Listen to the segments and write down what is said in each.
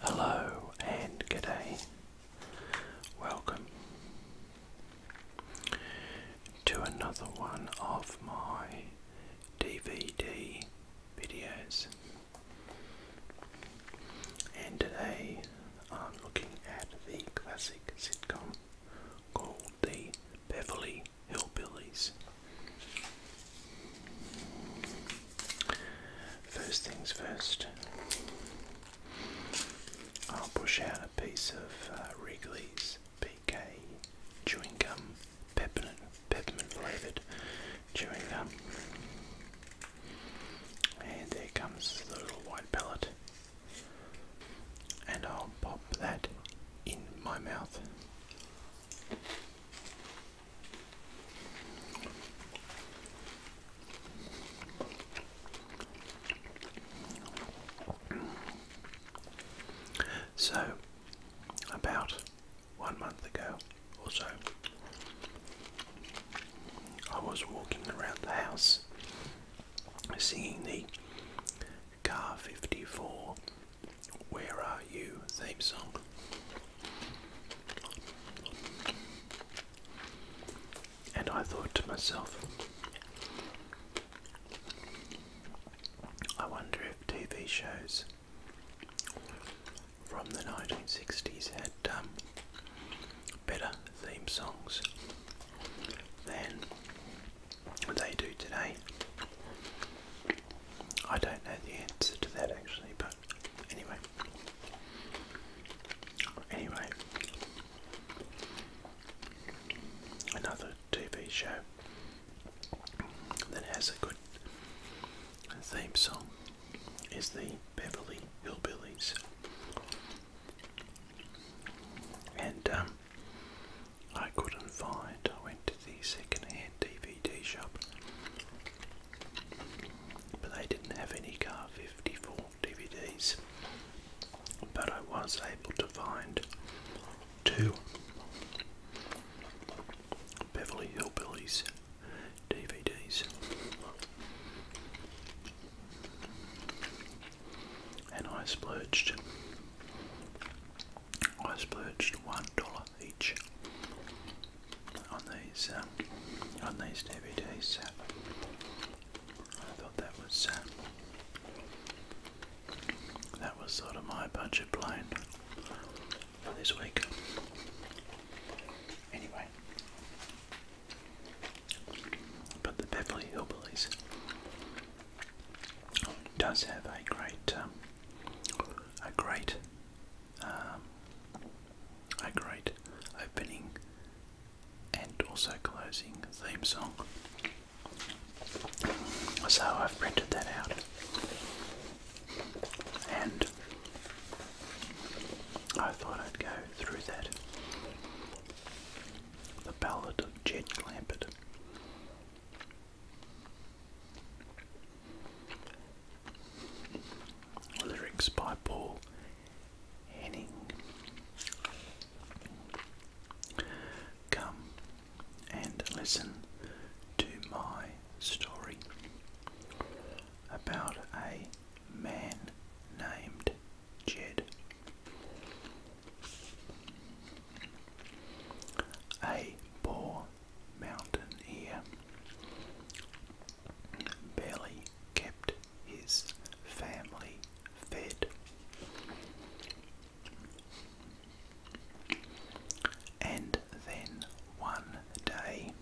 Hello and good day. Welcome to another one of my DVD videos. And today I'm looking at the classic sitcom called The Beverly Hillbillies. First things first, I'll push out a piece of uh, Wrigley's PK chewing gum, peppermint, peppermint flavoured chewing gum. And there comes the little white pellet. And I'll pop that in my mouth. So, about one month ago or so, I was walking around the house singing the Car 54 Where Are You theme song. And I thought to myself, I wonder if TV shows from the 1960s had um, better theme songs than they do today. I don't know the answer to that actually, but anyway. Anyway, another TV show that has a good theme song is the Beverly Hillbillies. And um, I couldn't find, I went to the second hand DVD shop but they didn't have any Car 54 DVDs. But I was able to find two Beverly Hillbillies DVDs. And I splurged. I splurged $1 each on these um, on these DVDs. Uh, I thought that was uh, that was sort of my budget plan for this week. Anyway, but the Beverly Hillbillies does have a great um, a great um, a great opening and also closing theme song. So I've printed that out and I thought I'd go through that. The Ballad of Jed Clampett lyrics by Paul Henning. Come and listen to my story about a man named Jed. A poor mountain ear barely kept his family fed. And then one day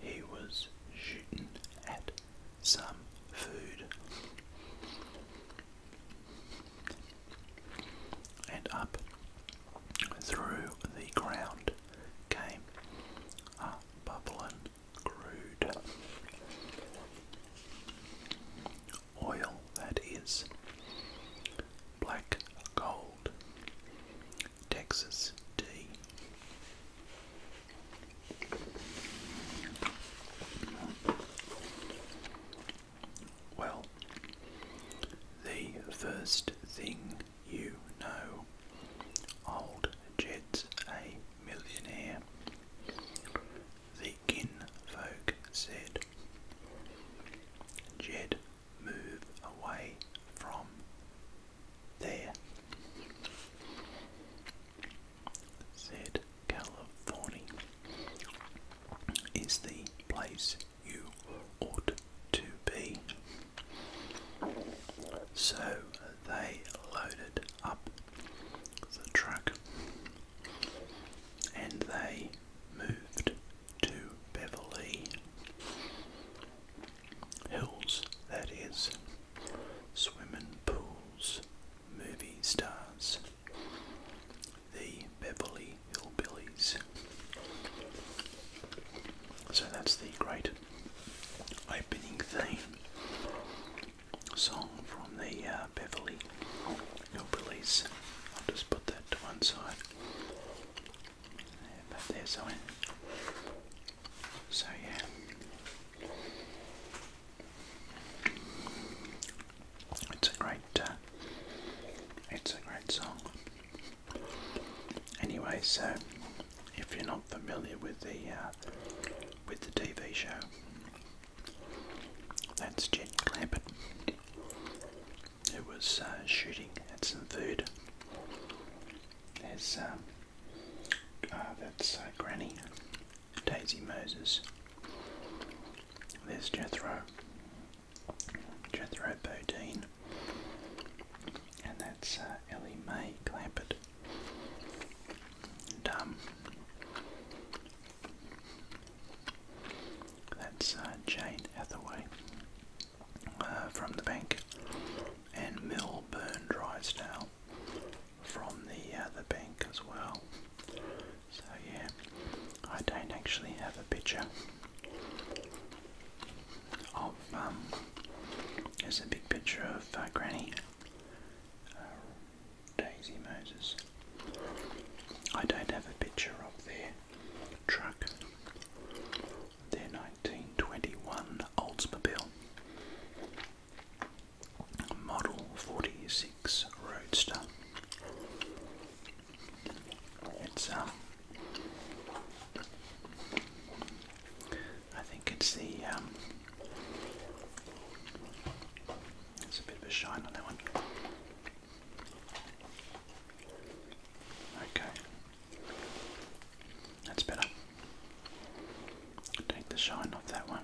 he was shooting at some food. And up through the ground came a bubbling crude oil that is black gold Texas tea. Well, the first thing you know. Old Jed's a millionaire. The kinfolk said. Jed, move away from there, said California, is the place you ought to be. So they loaded up the truck and they moved to Beverly Hills, that is, swimming pools, movie stars, the Beverly Hillbillies. So that's the great opening theme song from the uh, Beverly Hill I'll just put that to one side. but there's I. So yeah, it's a great, uh, it's a great song. Anyway, so if you're not familiar with the uh, with the TV show, that's Jen Clampett, who was uh, shooting at some food. There's um, ah, that's uh, Granny, Daisy Moses. There's Jethro, Jethro Bodine, and that's uh, Ellie Mae Clampett. Um, that's uh, Jane Hathaway uh, from The Bank, and Milburn Drysdale from the uh, The Bank as well. So yeah, I don't actually have a picture of um, there's a big picture of uh, Granny uh, Daisy Moses. I don't have a picture of their truck, their 1921 Oldsmobile Model 46 Roadster. It's um, I think it's the. Um, it's a bit of a shine on that one. Okay, that's better. Take the shine off that one.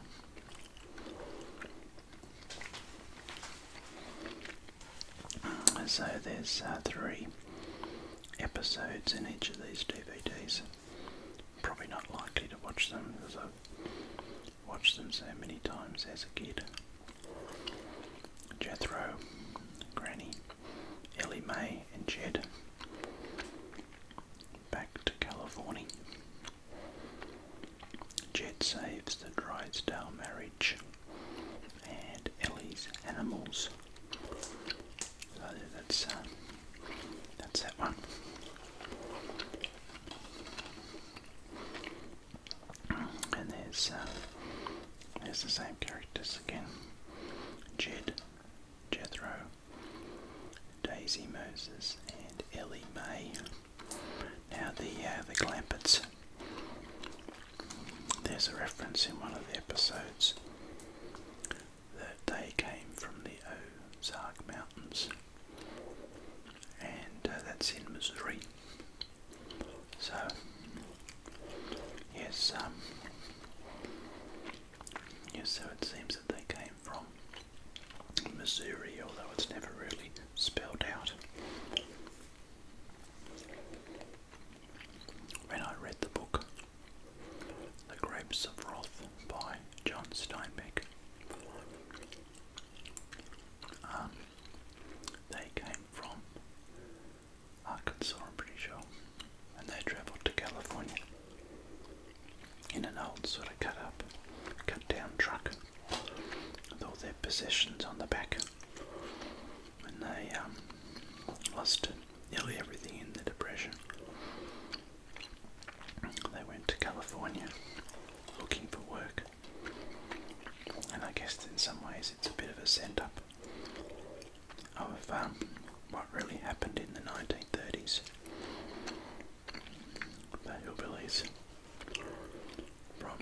So there's uh, three episodes in each of these DVDs. Probably not likely to watch them because I've watched them so many times as a kid. Jethro, Granny, Ellie May, and Jed. Back to California. Jed saves the Drysdale marriage and Ellie's animals. Uh, that's that one. And there's uh, there's the same characters again. Jed, Jethro, Daisy Moses, and Ellie May. Now the uh, the Clampets. There's a reference in one of the episodes that they came from the Ozark Mountains, and uh, that's in Missouri. So, yes, um, yes, so it seems that they came from Missouri, although it's never really spelled out. When I read the book, the Grapes of Wrath by John Steinbeck. Um, they came from Arkansas, I'm pretty sure, and they travelled to California in an old sort of cut up, cut down truck with all their possessions on the back. And they um, listed nearly everything in the Depression. They went to California looking for work. And I guess in some ways it's a bit of a send up of um, what really happened in the 1930s. The hillbillies from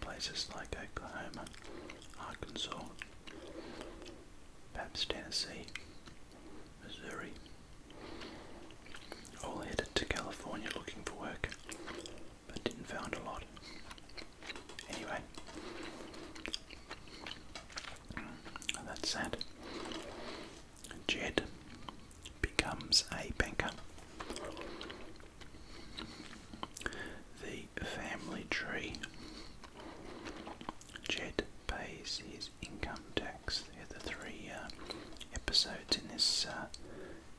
places like Oklahoma, Arkansas, perhaps Tennessee, Missouri. All headed to California looking for work, but didn't find a lot. Anyway, that's sad. Jed becomes a banker. The family tree Jet pays his income tax. They're the three uh, episodes in this uh,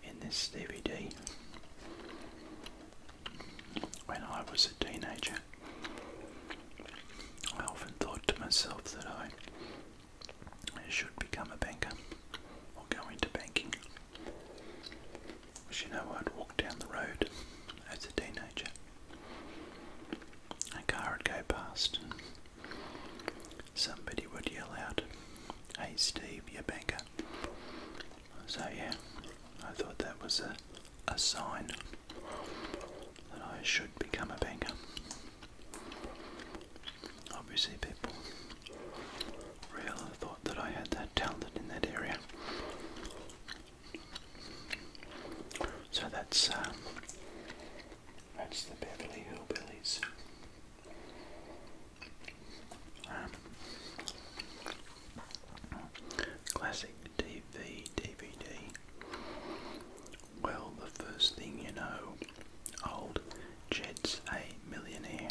in this DVD. When I was a teenager, I often thought to myself that I should become a banker or go into banking. you know, I'd walk down the road as a teenager. A car would go past and somebody would yell out, Hey Steve, you banker. So yeah, I thought that was a, a sign that I should become a banker. Obviously people really thought that I had that talent in that area. So that's um, that's the Beverly Hillbillies. Um, classic TV DVD. Well, the first thing you know, old Jets a millionaire.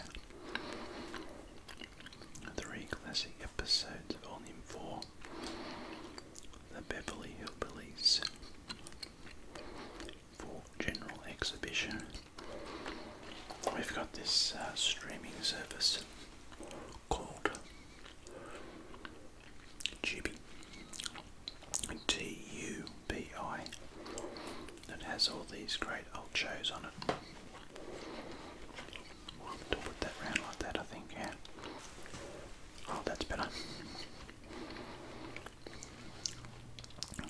Three classic episodes, volume four the Beverly Hills Police for general exhibition. We've got this uh, streaming service called Tubi, T U B I, that has all these great old shows on it. We'll put that round like that, I think. Oh, that's better.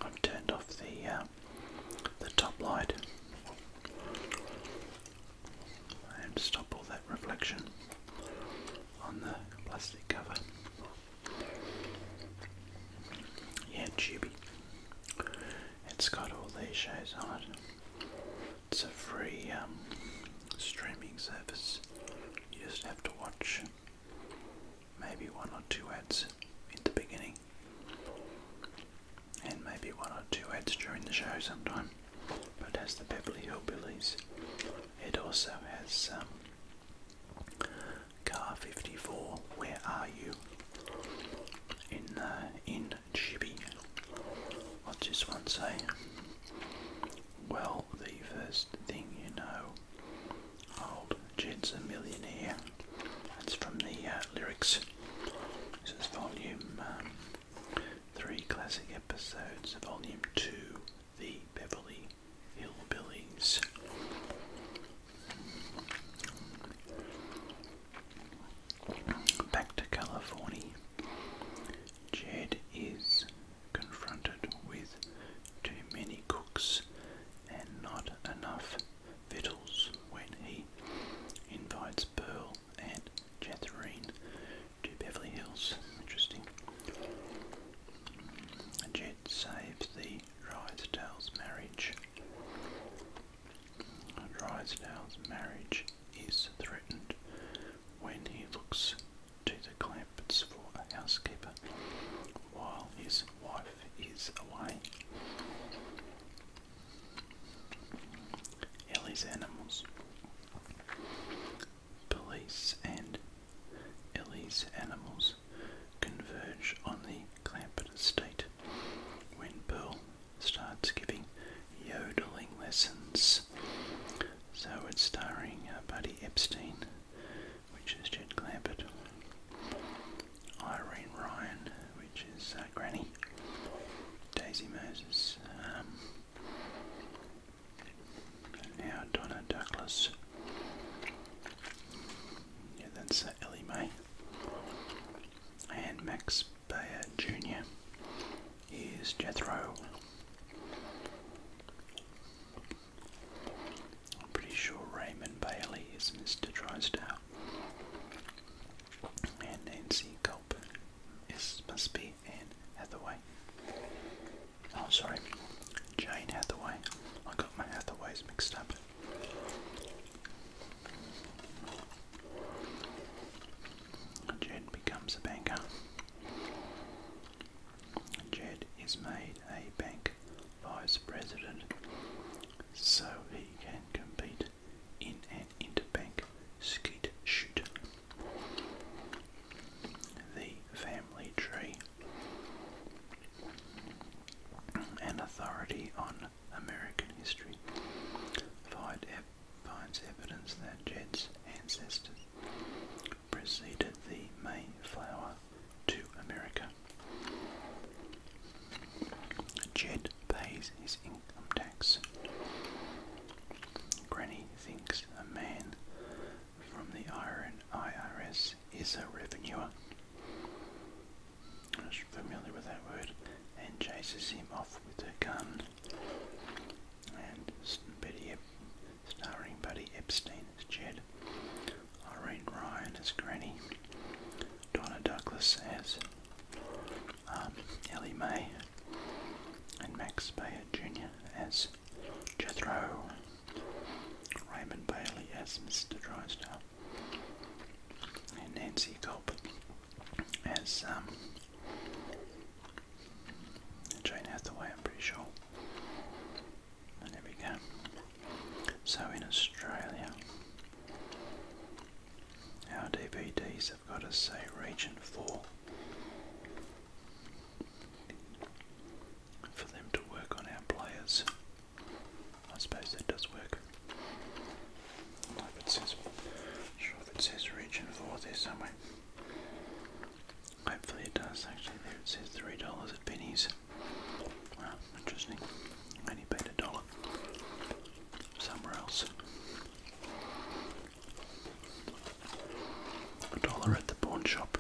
I've turned off the uh, the top light and stop all that reflection on the plastic cover. Yeah, Chibi. It's got all these shades on it. It's a free um, streaming service. You just have to watch maybe one or two ads in the beginning, and maybe one or two ads during the show sometime. But as has the Beverly Hillbillies. It also has um, Car 54. Where are you? In uh, in Chibi. What's this one say? well, the first thing you know, old Jed's a millionaire. That's from the uh, lyrics. This is volume um, three, classic episodes. Volume two, the Beverly Hillbillies. Back to California. Jed is confronted with too many cooks and not enough victuals when he invites Pearl and Catherine to Beverly Hills. Interesting. Jet saves the Drysdale's marriage. Drysdale's marriage is threatened when he looks to the Clampets for a housekeeper while his wife is away. Ellie's animals. Police and Ellie's animals converge on the Clampett estate when Pearl starts giving yodeling lessons so it's starring uh, Buddy Epstein, which is Jed Clampett, Irene Ryan, which is uh, Granny, Daisy Moses, um, now Donna Douglas. Yeah, that's uh, Ellie Mae. And Max Bayer Jr is Jethro. I'm pretty sure Raymond Bailey is Mr. Drysdale. And Nancy Culp is must be Anne Hathaway. Oh sorry, Jane Hathaway. I got my Hathaways mixed up. Jed becomes a banker. Jed is made a bank vice president so he can compete in an interbank skeet shoot. The family tree. An authority on American history finds evidence that Jed's ancestors preceded the Mayflower to America. Jed pays his income tax. Granny thinks a man from the IRS is a revenuer. I'm familiar with that word, and chases him off with a gun. And Betty starring Buddy Epstein as Jed, Irene Ryan as Granny, Donna Douglas as um, Ellie Mae, and Max Bayer Jr. as Jethro, Raymond Bailey as Mr. Drysdale, and Nancy Culp as um, Jane Hathaway, I'm pretty sure. there we go. So in Australia, our DVDs have got to say Region 4 for them to work on our players. I suppose that does work. I'm sure if it says Region 4 there somewhere. Hopefully it does. Actually, there it says three dollars at pennies. Wow, interesting. I only paid a dollar somewhere else. A dollar at the pawn shop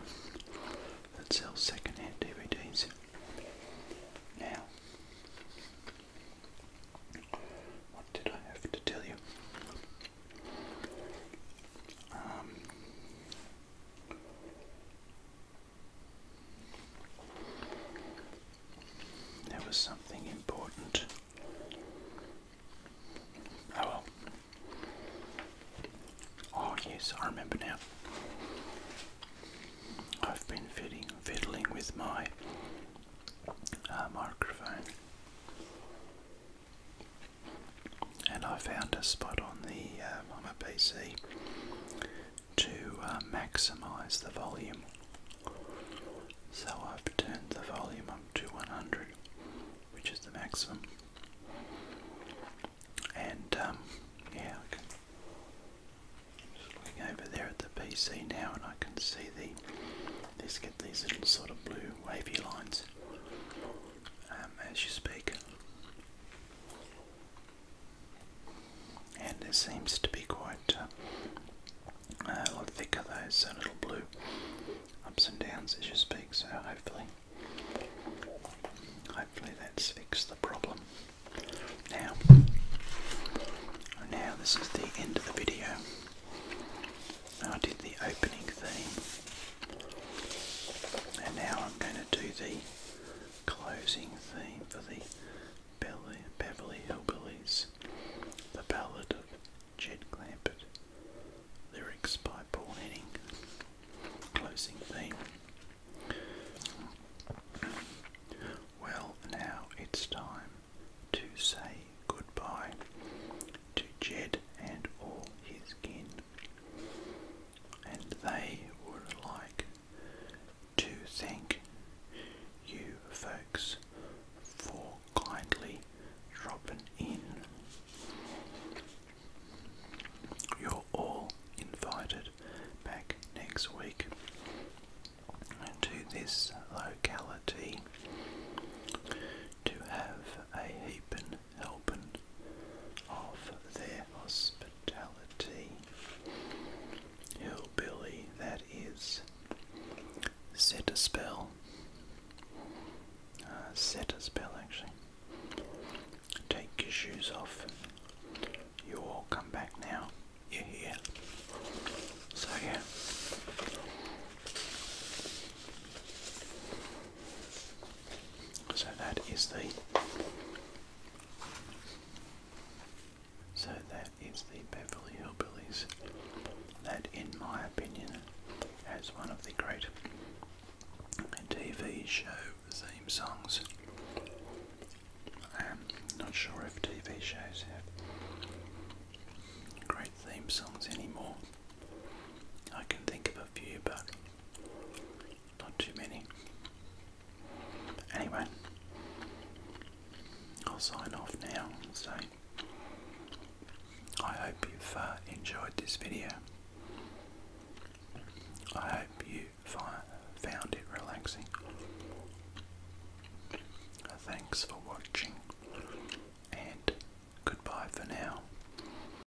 that sells second-hand DVDs. Now, what did I have to tell you? Um, there was something important. Oh well. Oh yes, I remember now. I've been fiddling, with my uh, microphone and I found a spot on the um, on my PC to uh, maximize the volume. So I've turned the volume up to 100, which is the maximum. And um, yeah, I can just looking over there at the PC now, and I can see the these get these little sort of blue wavy lines um, as you speak. And it seems to be quite uh, a lot thicker those So little blue ups and downs as you speak. So hopefully, hopefully that's fixed the problem. Now, now this is the end of the video. I did the opening theme and now I'm going to do the closing theme for the Beverly, Hillbillies, the ballad of Jed Clampett, lyrics by Paul Henning, closing theme. Well, now it's time to say goodbye to Jed and all his kin, and they would like to thank you folks for kindly dropping in. You're all invited back next week to this locality to have a heapin' helping of their hospitality. Hillbilly, that is. Set a spell. Uh, set a spell, actually. Take your shoes off. You all come back now. You're here. So, yeah. So that is the so that is the Beverly Hillbillies that in my opinion has one of the great TV show theme songs. I'm not sure if TV shows have great theme songs anymore. I can think of a few, but not too many. Anyway, I'll sign off now and so say I hope you've uh, enjoyed this video. I hope you found it relaxing. Thanks for watching and goodbye for now.